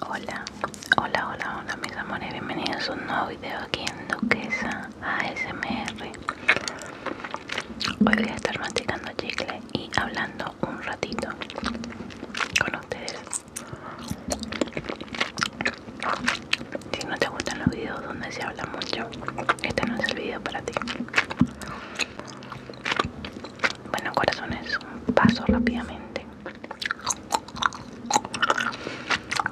Hola, hola, hola, hola mis amores, bienvenidos a un nuevo video aquí en Duquesa ASMR Hoy voy a estar masticando chicle y hablando un ratito con ustedes Si no te gustan los videos donde se habla mucho, este no es el video para ti Bueno corazones, paso rápidamente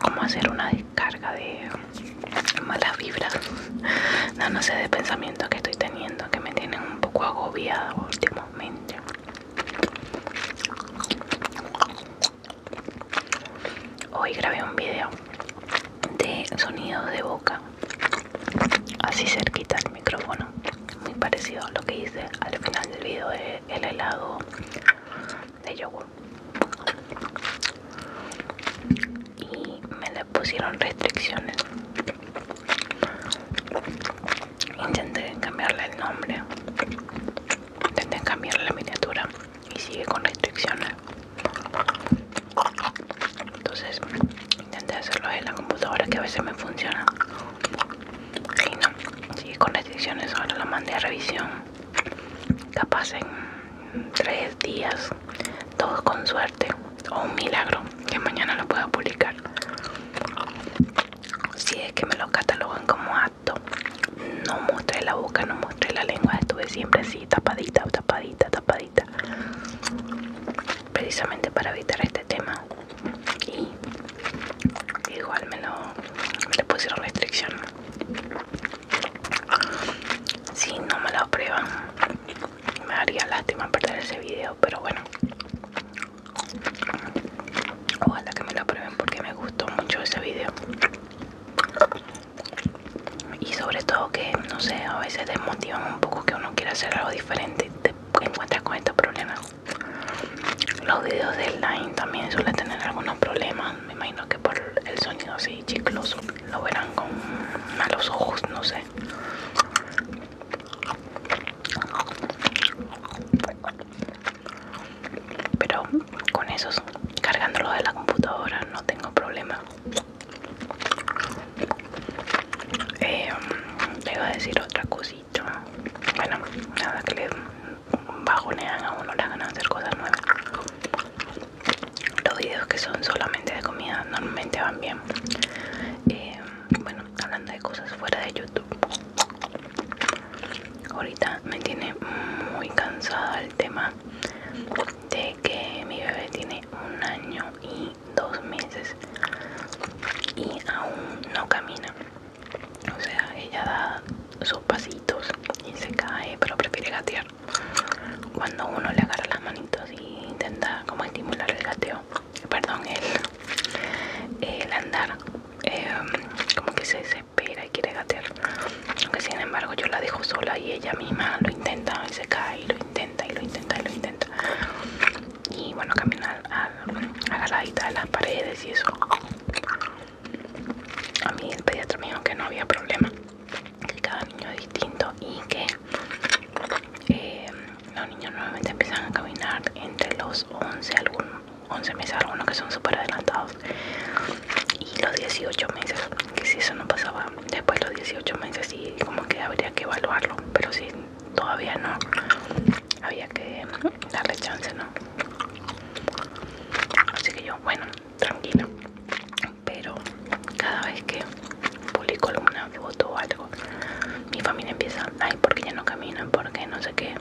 como hacer una descarga de malas vibras, no, no sé, de pensamientos que estoy teniendo que me tienen un poco agobiado últimamente. Hoy grabé un video de sonidos de boca, así cerquita al micrófono, muy parecido a lo que hice al final del video el helado de yogur y me le pusieron restricciones intenté cambiarle el nombre intenté cambiarle la miniatura y sigue con restricciones entonces intenté hacerlo en la computadora que a veces me funciona y no. Sigue con restricciones. Ahora la mandé a revisión. Capaz en tres días. Todo con suerte. O un milagro. Que mañana lo pueda publicar. Si es que me lo catalogan como acto. No mostré la boca, no mostré la lengua. Estuve siempre así, tapadita, tapadita, tapadita. Precisamente para evitar este tema y igual me lo me le pusieron restricción si no me lo aprueban me haría lástima perder ese video pero bueno ojalá que me lo aprueben porque me gustó mucho ese video y sobre todo que no sé a veces desmotivan un poco que uno quiera hacer algo diferente y te encuentras con estos problemas los videos de line también suelen tener algunos problemas. Me imagino que por el sonido así chicloso lo verán con malos ojos, no sé. Pero con esos, cargándolo de la computadora, no tengo problema. Eh, te a decir otra cosa bueno nada que le bajonean a uno le ganas de hacer cosas nuevas los videos que son solamente de comida normalmente van bien eh, bueno hablando de cosas fuera de youtube ahorita me tiene muy cansada el tema de que mi bebé tiene un año y dos meses y aún no camina o sea, ella da sus pasitos y se cae, pero prefiere gatear. Cuando uno le agarra las manitos y intenta como estimular el gateo, perdón, el, andar, em, como que se desespera y quiere gatear. Aunque sin embargo yo la dejo sola y ella misma lo intenta y se cae y lo intenta y lo intenta y lo intenta y bueno caminar a, a, de las paredes y eso a mí el pediatra me dijo que no había problema que cada niño es distinto y que eh, los niños nuevamente empiezan a caminar entre los 11 11 meses algunos que son súper adelantados y los 18 meses que si eso no pasaba después los 18 meses y como que habría que evaluarlo pero si todavía no había que darle chance, ¿no? Así que yo, bueno, tranquila. Pero cada vez que publico alguna foto o algo, mi familia empieza, ay, porque ya no camina? porque no sé qué?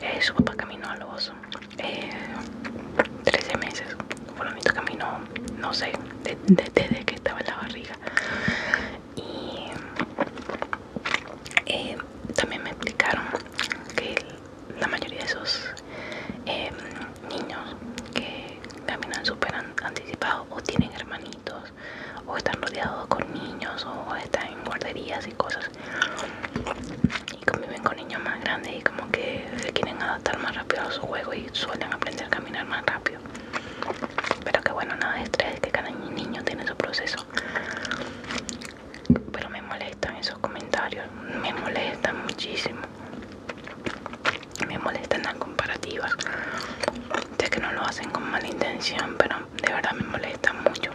Eh, su papá caminó al oso. 13 meses. menos caminó, no sé, desde que estaba en la barriga y eh, también me explicaron que la mayoría de esos eh, niños que caminan súper anticipados o tienen hermanitos o están rodeados con niños o están en guarderías y cosas y conviven con niños más grandes y como que se quieren adaptar más rápido a su juego y suelen aprender a caminar más rápido pero que bueno nada de estrés que cada niño tiene su proceso pero me molestan esos comentarios me molestan muchísimo me molestan las comparativas sé que no lo hacen con mala intención pero de verdad me molestan mucho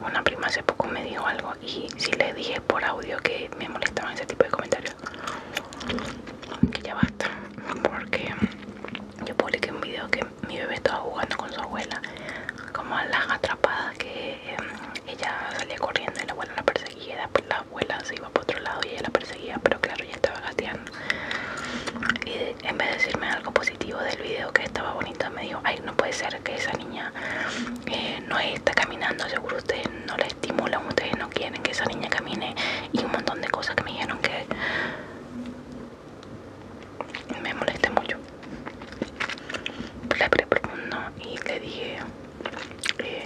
una prima hace poco me dijo algo y si le dije por audio que me molestaban ese tipo de comentarios que ya basta porque yo publiqué un video que mi bebé estaba jugando con su abuela como a las atrapadas que em, ella salía corriendo y la abuela la perseguía después la abuela se iba para otro lado y ella la perseguía pero claro ya estaba gateando y en vez de decirme algo positivo del video que estaba bonito me dijo ay no puede ser que esa niña eh, no está caminando seguro usted no le estimulan, ustedes no quieren que esa niña camine y un montón de cosas que me dijeron que me moleste mucho. Le hablé y le dije eh,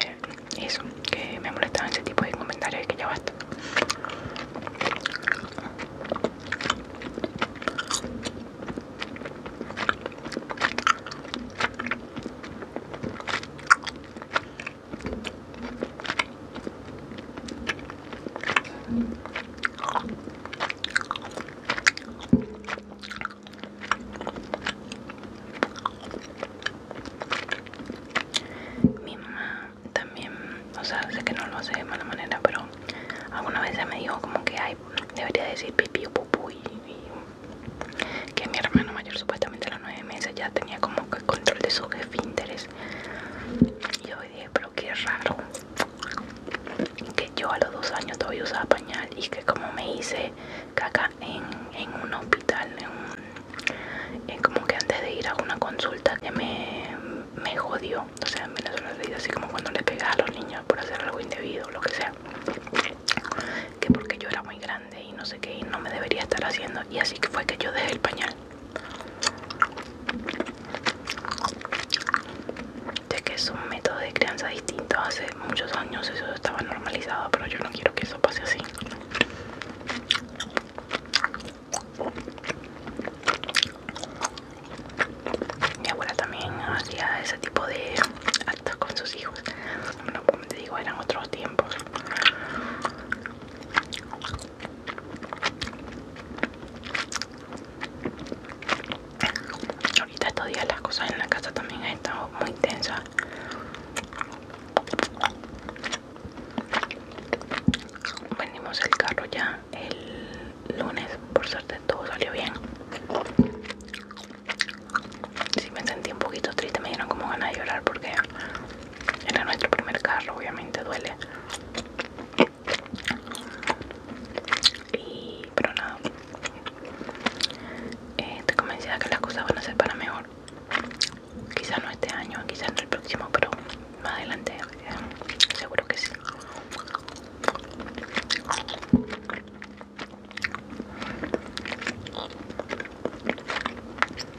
eso, que me molestaban ese tipo de comentarios y que ya basta. Mi mamá también, o sea, sé que no lo hace de mala manera, pero alguna vez me dijo como que hay debería decir pipí o pupú y que mi hermano mayor supuestamente de los nueve meses ya tenía como que control de su esfínteres. Y yo dije, pero qué raro que yo a los dos años todavía usaba pañal y que como me hice caca en, un hospital, en como que antes de ir a una consulta que me, me jodió. O sea, en Venezuela así como cuando le pegaba a los niños por hacer algo indebido lo que sea. Que porque yo era muy grande y no sé qué y no me debería estar haciendo y así que fue que yo dejé el pañal de que es un método de crianza distinto hace muchos años eso estaba normalizado pero yo no quiero que eso pase así mi abuela también hacía ese tipo de actos con sus hijos como te digo eran otros tiempos Ahorita estos días las cosas en la casa también han estado muy tensas. Vendimos el carro ya el lunes, por suerte todo salió bien. Si sí, me sentí un poquito triste, me dieron como ganas de llorar porque era nuestro primer carro, obviamente duele. Y, pero nada. estoy eh, convencida que las cosas van a ser para mejor. Quizás no este año, quizás no el próximo, pero más adelante eh, seguro que sí.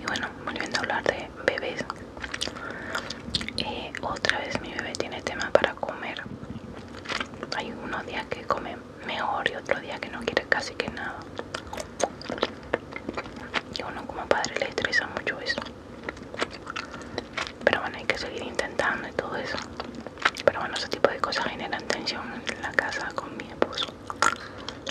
Y bueno, volviendo a hablar de bebés. Eh, otra vez mi bebé tiene tema para comer. Hay unos días que come mejor y otro día que no quiere casi que nada. Y uno como padre le estresa mucho eso. Pero bueno, hay que seguir intentando y todo eso. Pero bueno, ese tipo de cosas generan tensión en la casa con mi esposo.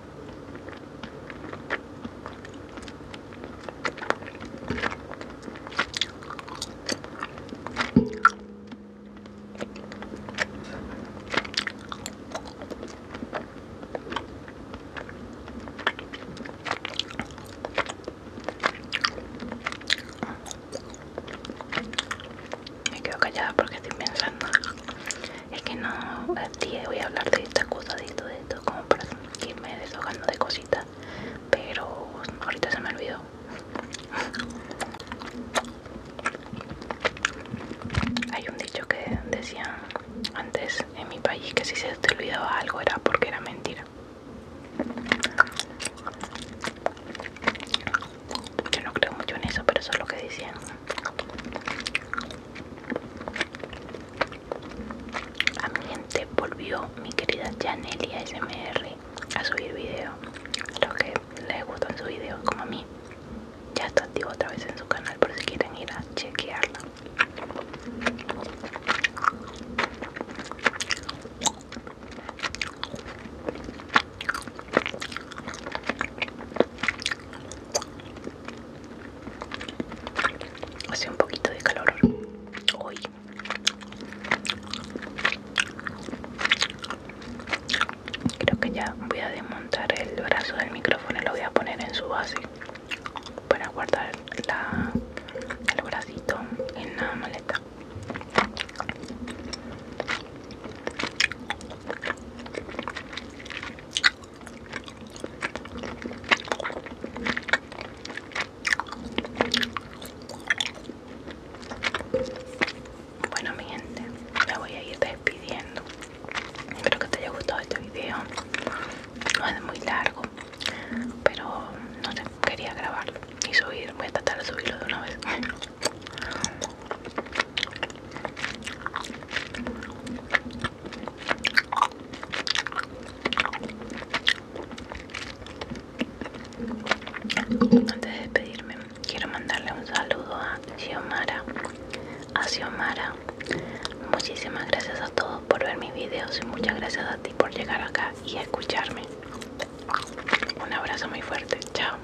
Me kaya callada porque estoy pensando es que no día voy a hablar de estas cosas, de esto de esto como para irme desahogando de cositas pero ahorita se me olvidó hay un dicho que decían antes en mi país que si se te olvidaba algo era porque era mentira yo no creo mucho en eso pero eso es lo que decían a mi gente volvió mi querida Janelia SMR a subir video. A los que les en sus videos como a mí. Ya está activo otra vez en su canal por si quieren ir a chequearla. Hace un poquito de calor hoy. Creo que ya voy a desmontar el brazo del micrófono y lo voy a poner en su base para guardar el bracito en la maleta. Bueno mi gente, me voy a ir despidiendo. Espero que te haya gustado este video. No es muy largo, pero no sé, quería grabarlo y subir. Voy a tratar de subirlo de una vez. Antes de despedirme, quiero mandarle un saludo a Xiomara. A Xiomara, muchísimas gracias a todos por ver mis videos y muchas gracias a ti por llegar acá y escucharme. Un abrazo muy fuerte, chao.